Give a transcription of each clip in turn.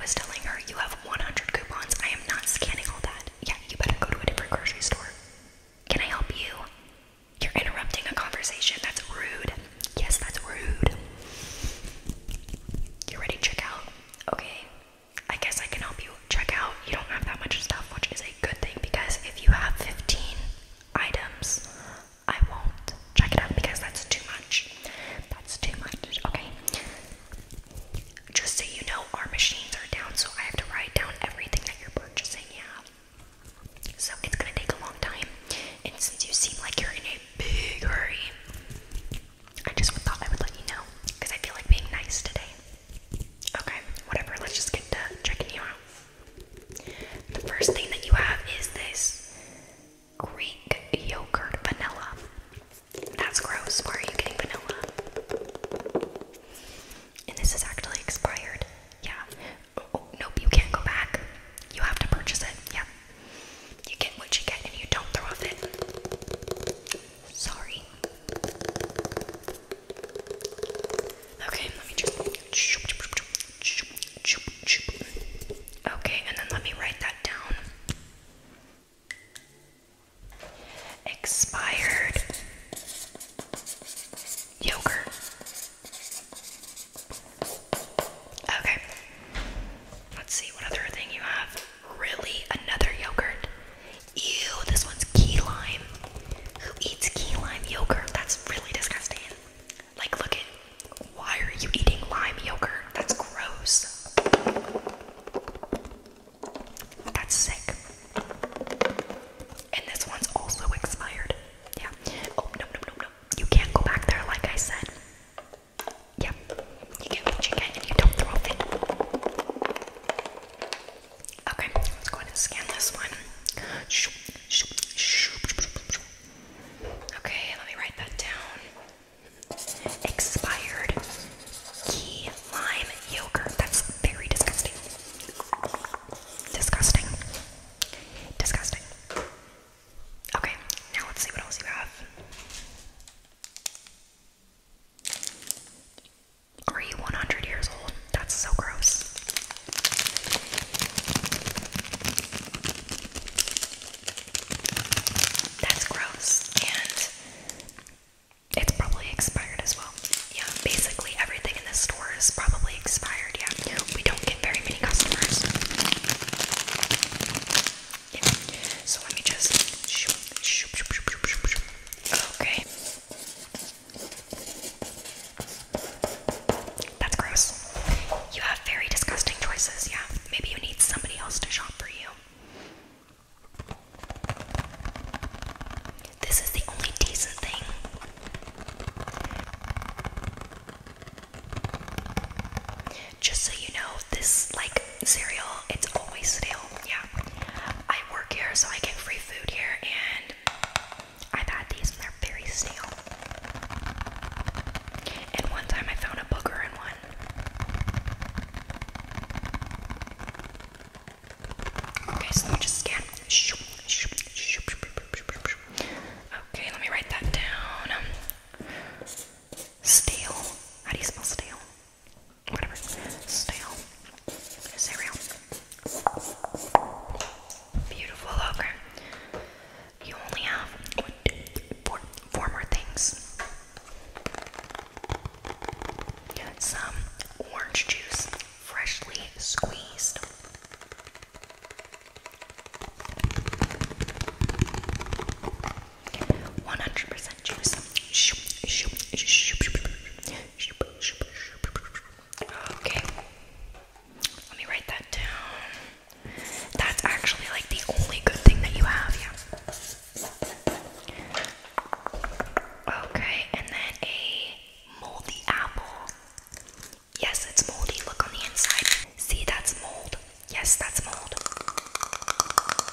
was telling her, You have 100 coupons. I am not scanning all that. Yeah, you better go to a different grocery store. Can I help you? You're interrupting a conversation. That's rude. Yes, that's rude. You ready to check out? Okay. I guess I can help you check out. You don't have that much stuff, which is a good thing because if you have 15 items, I won't check it out because that's too much. That's too much. Okay. Just so you know, our machines are down, so I have to write down everything that you're purchasing. Yeah. So it's gonna take a long time, and since you seem like you're in a big hurry, I just thought I would let you know because I feel like being nice today. Okay, whatever. Let's just get to checking you out. The first thing that you have is this Greek yogurt vanilla. That's gross. Where are you getting vanilla? And this is actually expired. Yeah. Oh, nope, you can't go back. You have to purchase it. Yeah. You get what you get and you don't throw a fit. Sorry. Okay, let me just. Okay, and then let me write that down. Expired yogurt. Okay. Let's see what other thing you have. Really? Another yogurt? Ew, this one's key lime. Who eats key lime yogurt? That's really disgusting. Like, look at why are you eating lime yogurt? That's gross. That's sick. And this one's also expired. Yeah. Oh, no, no, no, no. You can't go back there, like I said. Yeah. You get what you and you don't throw it. Okay, let's go ahead and scan this one. Okay, let me write that down. Expired key lime yogurt. That's very disgusting. Disgusting. Disgusting. Okay, now let's see what else you have. Are you 100 years old? That's so gross. That's gross, and it's probably expired as well. Yeah, basically everything in this store is probably expired. Yeah, we don't get very many customers. Yeah. So let me just. Okay. That's gross. You have very disgusting choices, yeah. Maybe you need somebody else to shop for you. This is the only decent thing. Just so you know, this like cereal, it's always stale. Yeah. I work here so I get free food here and I've had these and they're very stale. And one time I found a booger in one. Okay, so let me just scan. Okay, let me write that down. Stale. How do you spell stale? Whatever. Stale cereal. Beautiful, okay. You only have one, two, three, four, four more things. Some orange juice, freshly squeezed. One hundred percent juice. Okay. Let me write that down. That's actually like the only good thing that you have, yeah. Okay, and then a moldy apple. Yes, it's moldy. Look on the inside. See, that's mold. Yes, that's mold.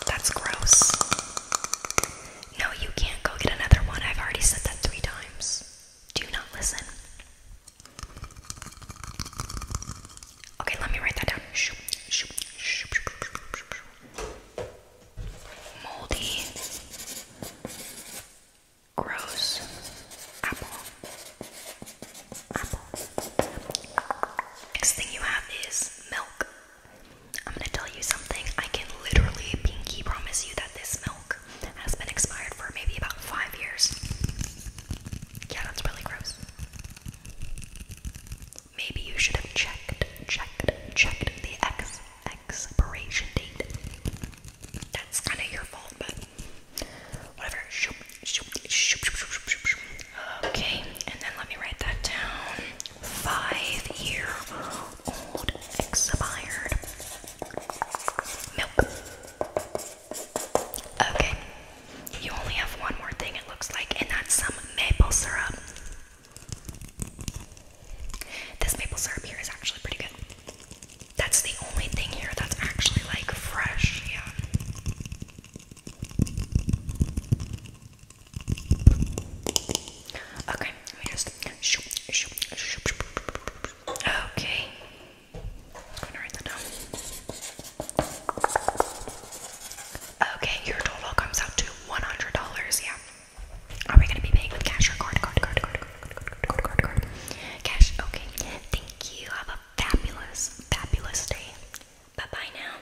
That's gross. No, you can't go get another one. I've already said that three times. Do not listen? Okay, let me write that down. Moldy gross Apple. Next thing you have is milk. I'm gonna tell you something. I can literally pinky promise you that this milk has been expired for maybe about five years. Yeah, that's really gross. Maybe you should have checked, checked, checked the ex expiration date. That's kind of your fault, but whatever. Okay, and then let me write that down five year old expired milk. Okay, you only have one more thing, it looks like, and that's some maple syrup. This maple syrup here is actually pretty good. That's the only thing here that's actually like fresh, yeah. Okay, Okay. Okay, your total comes out to $100. Yeah. Are we gonna be paying with cash or card, card, card, card, card, card, card. Cash. Okay. Thank you. Have a fabulous, fabulous day. Bye bye now.